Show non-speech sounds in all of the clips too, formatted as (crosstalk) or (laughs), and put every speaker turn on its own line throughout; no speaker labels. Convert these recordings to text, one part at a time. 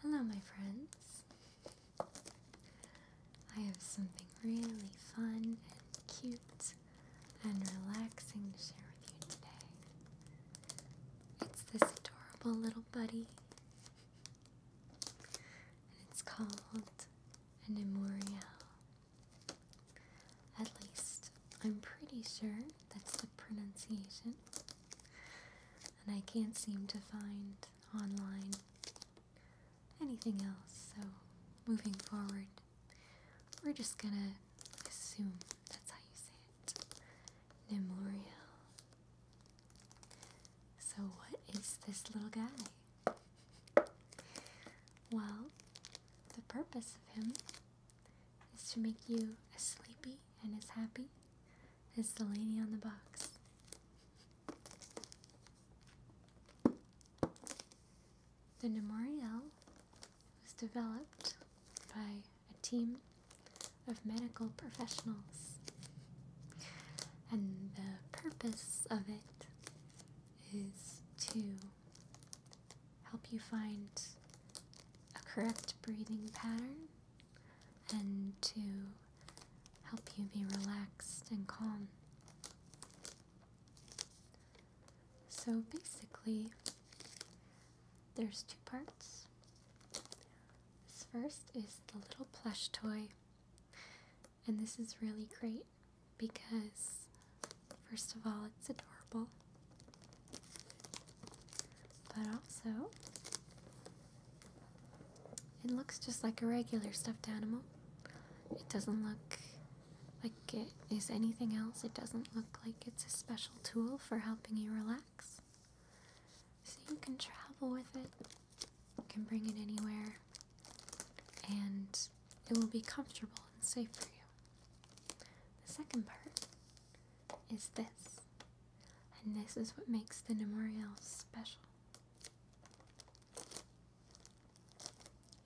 Hello, my friends. I have something really fun and cute and relaxing to share with you today. It's this adorable little buddy, and it's called an Immorial. At least, I'm pretty sure that's the pronunciation and I can't seem to find online anything else, so moving forward, we're just gonna assume that's how you say it. Memorial. So, what is this little guy? Well, the purpose of him is to make you a sleepy and as happy as the lady on the box. The Memorial was developed by a team of medical professionals, and the purpose of it is to help you find a correct breathing pattern and to help you be relaxed and calm. So basically, there's two parts. This first is the little plush toy, and this is really great because, first of all, it's adorable. But also, it looks just like a regular stuffed animal. It doesn't look like it is anything else. It doesn't look like it's a special tool for helping you relax. So you can travel with it, you can bring it anywhere, and it will be comfortable and safe for you. The second part is this. And this is what makes the memorial special.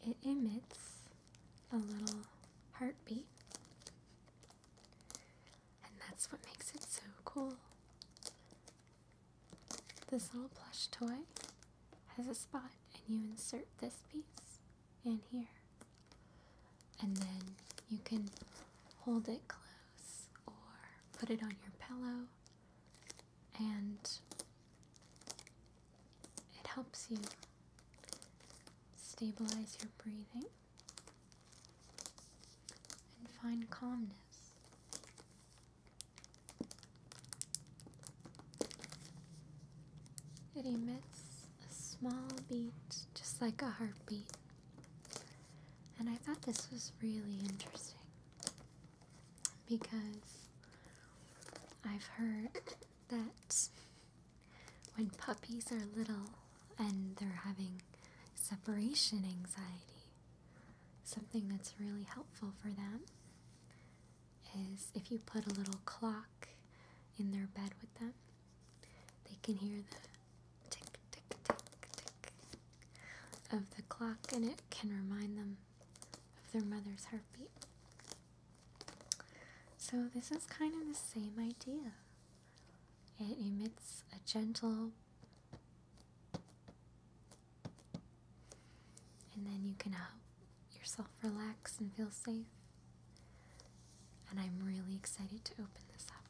It emits a little heartbeat, and that's what makes it so cool. This little plush toy has a spot, and you insert this piece in here and then you can hold it close or put it on your pillow, and it helps you stabilize your breathing and find calmness. It emits a small beat, just like a heartbeat. And I thought this was really interesting because I've heard that when puppies are little and they're having separation anxiety, something that's really helpful for them is if you put a little clock in their bed with them they can hear the tick, tick, tick, tick of the clock, and it can remind them of their mother's heartbeat. So, this is kind of the same idea. It emits a gentle, and then you can help yourself relax and feel safe. And I'm really excited to open this up.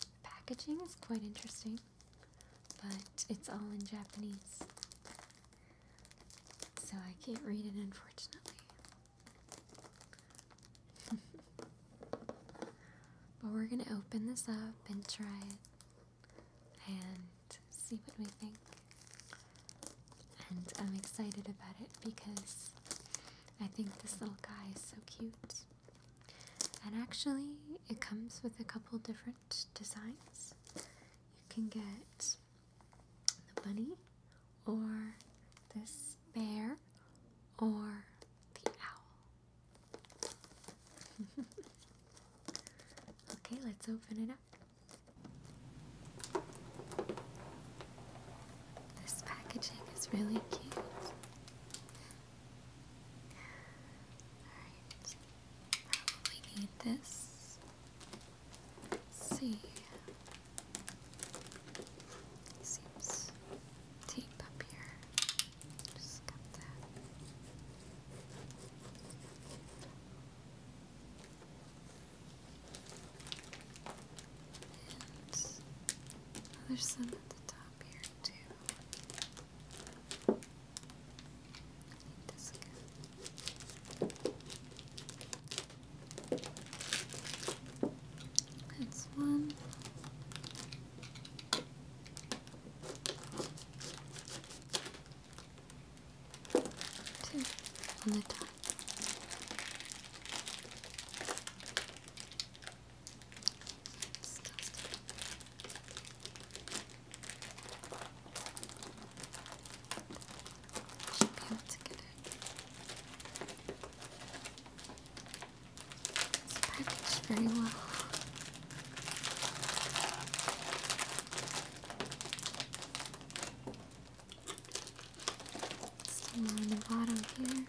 The packaging is quite interesting, but it's all in Japanese. So I can't read it, unfortunately. (laughs) but we're going to open this up and try it and see what we think and I'm excited about it because I think this little guy is so cute. And actually, it comes with a couple different designs. You can get the bunny, or this bear, or the owl. (laughs) okay, let's open it up. This packaging is really cute. Alright, probably need this. see. Seems tape up here. Just got that. And there's some at the top here too. this again. That's one
two on the top. Disgusting.
to get it. packaged very well. Some on the bottom here. Got it.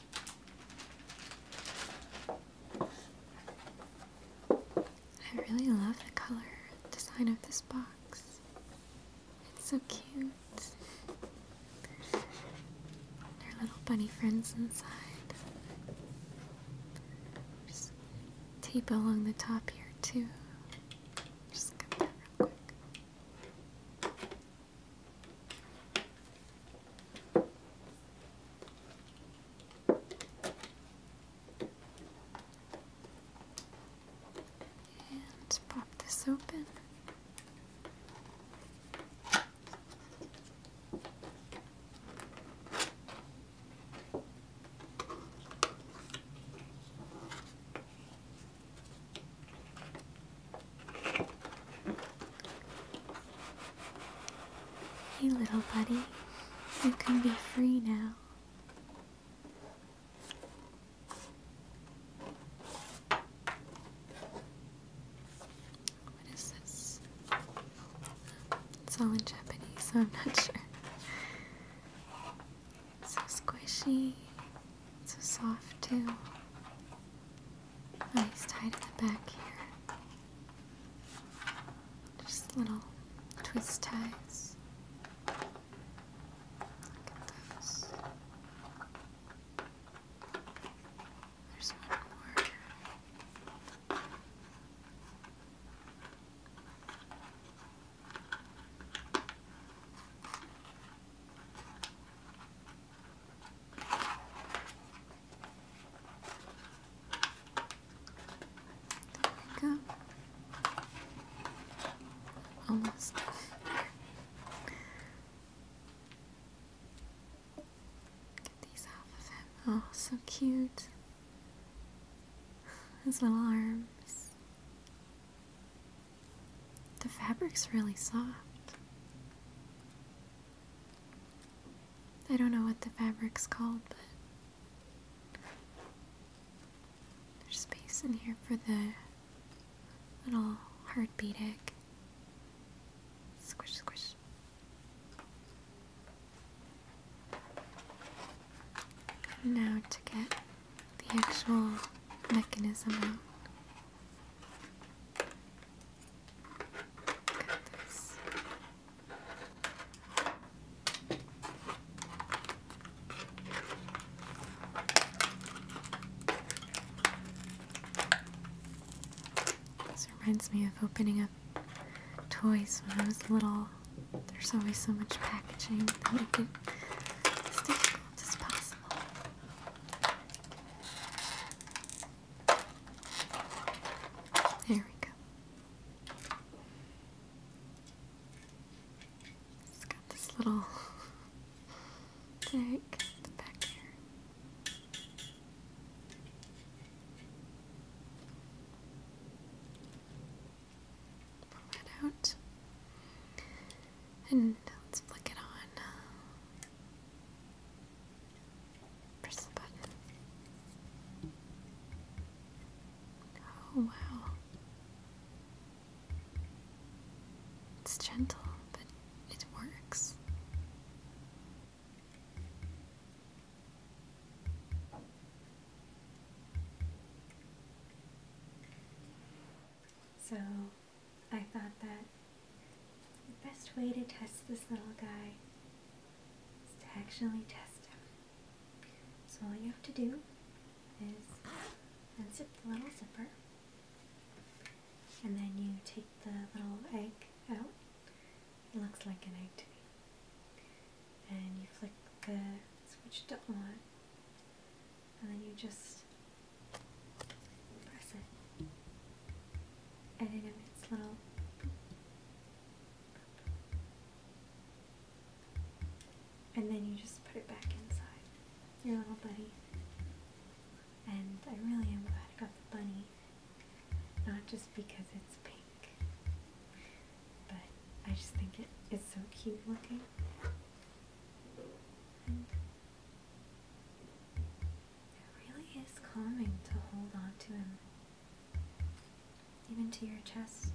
I really love the color design of this box. It's so cute. There are little bunny friends inside. Just tape along the top here too. Just cut that real quick. And pop this open. Hey, little buddy,
you can be free now.
What is this? It's all in Japanese, so I'm not (laughs) sure. so squishy, it's so soft, too nice oh, tied in the back here. Just little twist ties.
Look at those. There's one more. There we go. Almost. Get
these off of him. Oh, so cute. His little arms. The fabric's really soft. I don't know what the fabric's called, but there's space in here for the little heartbeat egg. Squish, squish.
now to get the actual
mechanism out. This reminds me of opening up toys when I was little. There's always so much packaging that make it as as possible. There we go. It's got this little thing back here. Pull that out. And let's flick it on. Press the button. Oh, wow. It's gentle, but it works.
So, I thought that the best way to test this little guy is to actually test him. So all you have to do is unzip the little zipper and then you take the little egg out. It looks like an egg to me. And you flick the switch to on and then you just press it and it emits little and then you just put it back inside your little bunny and I really am glad I got the bunny not just because it's pink but I just think it is so cute looking it really is calming to hold on to him, even to your chest.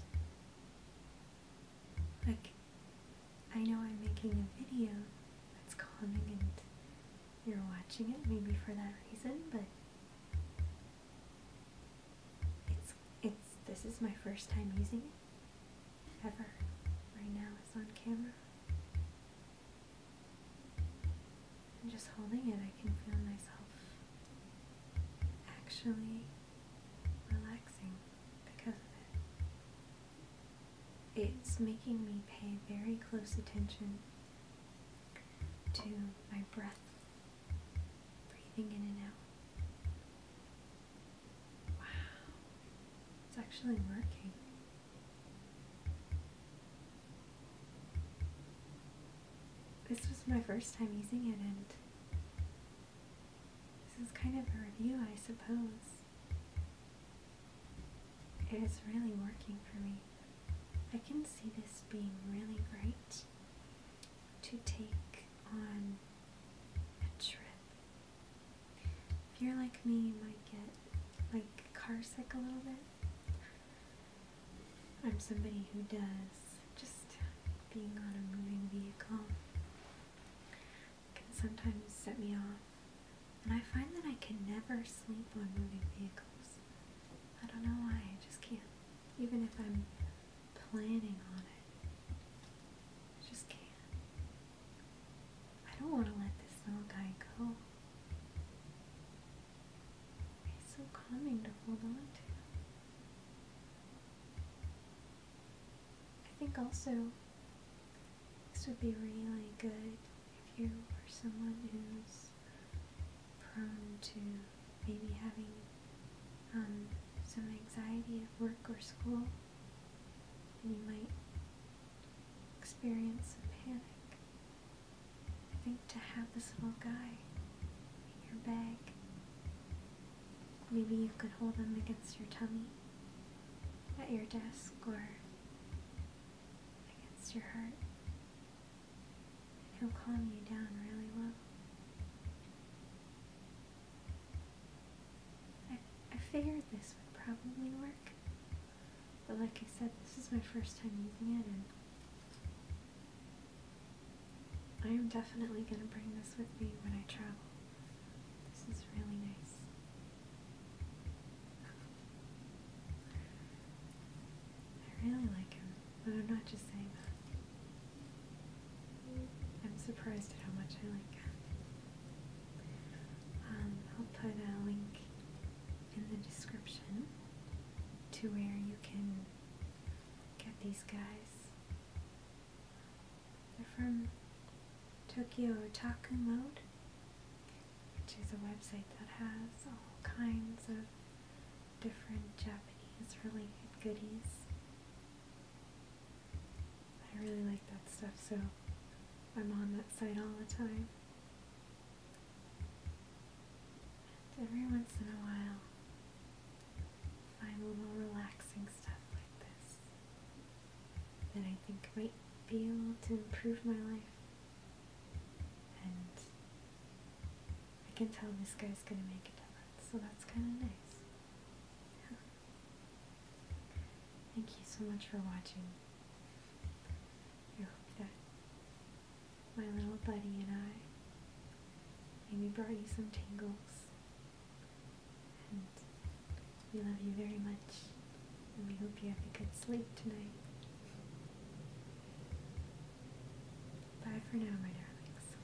Like, I know I'm making a video that's calming and you're watching it maybe for that reason, but it's it's this is my first time using it ever right now is on camera. And just holding it, I can feel myself actually relaxing because of it. It's making me pay very close attention to my breath, breathing in and out. Wow, it's actually working. This was my first time using it, and this is kind of a review, I suppose. It is really working for me. I can see this being really great to take on a trip if you're like me, you might get like car sick a little bit. I'm somebody who does just being on a moving vehicle can sometimes set me off. And I find that I can never sleep on moving vehicles. I don't know why, I just can't. Even if I'm planning on it, I just can't. I don't want to let this little guy go. He's so calming to hold on to. I think also this would be really good if you are someone who's prone to maybe having um, some anxiety at work or school and you might experience some panic. I think to have this little guy in your bag, maybe you could hold him against your tummy at your desk or against your heart. he'll calm you down really well. I, I figured this would probably work, but like I said, this is my first time using it, and I am definitely going to bring this with me when I travel. This is really nice. I really like him, but I'm not just saying that. I'm surprised at how much I like that. Um, I'll put a link in the description to where you can get these guys. They're from Tokyo Otaku Mode, which is a website that has all kinds of different Japanese related goodies. I really like that stuff, so I'm on that site all the time. every once in a while, find a little relaxing stuff like this that I think might be able to improve my life. And I can tell this guy's gonna make a difference, so that's kind of nice. Thank you so much for watching. I hope that my little buddy and I we brought you some tangles, And we love you very much. And we hope you have a good sleep tonight. Bye for now, my darlings.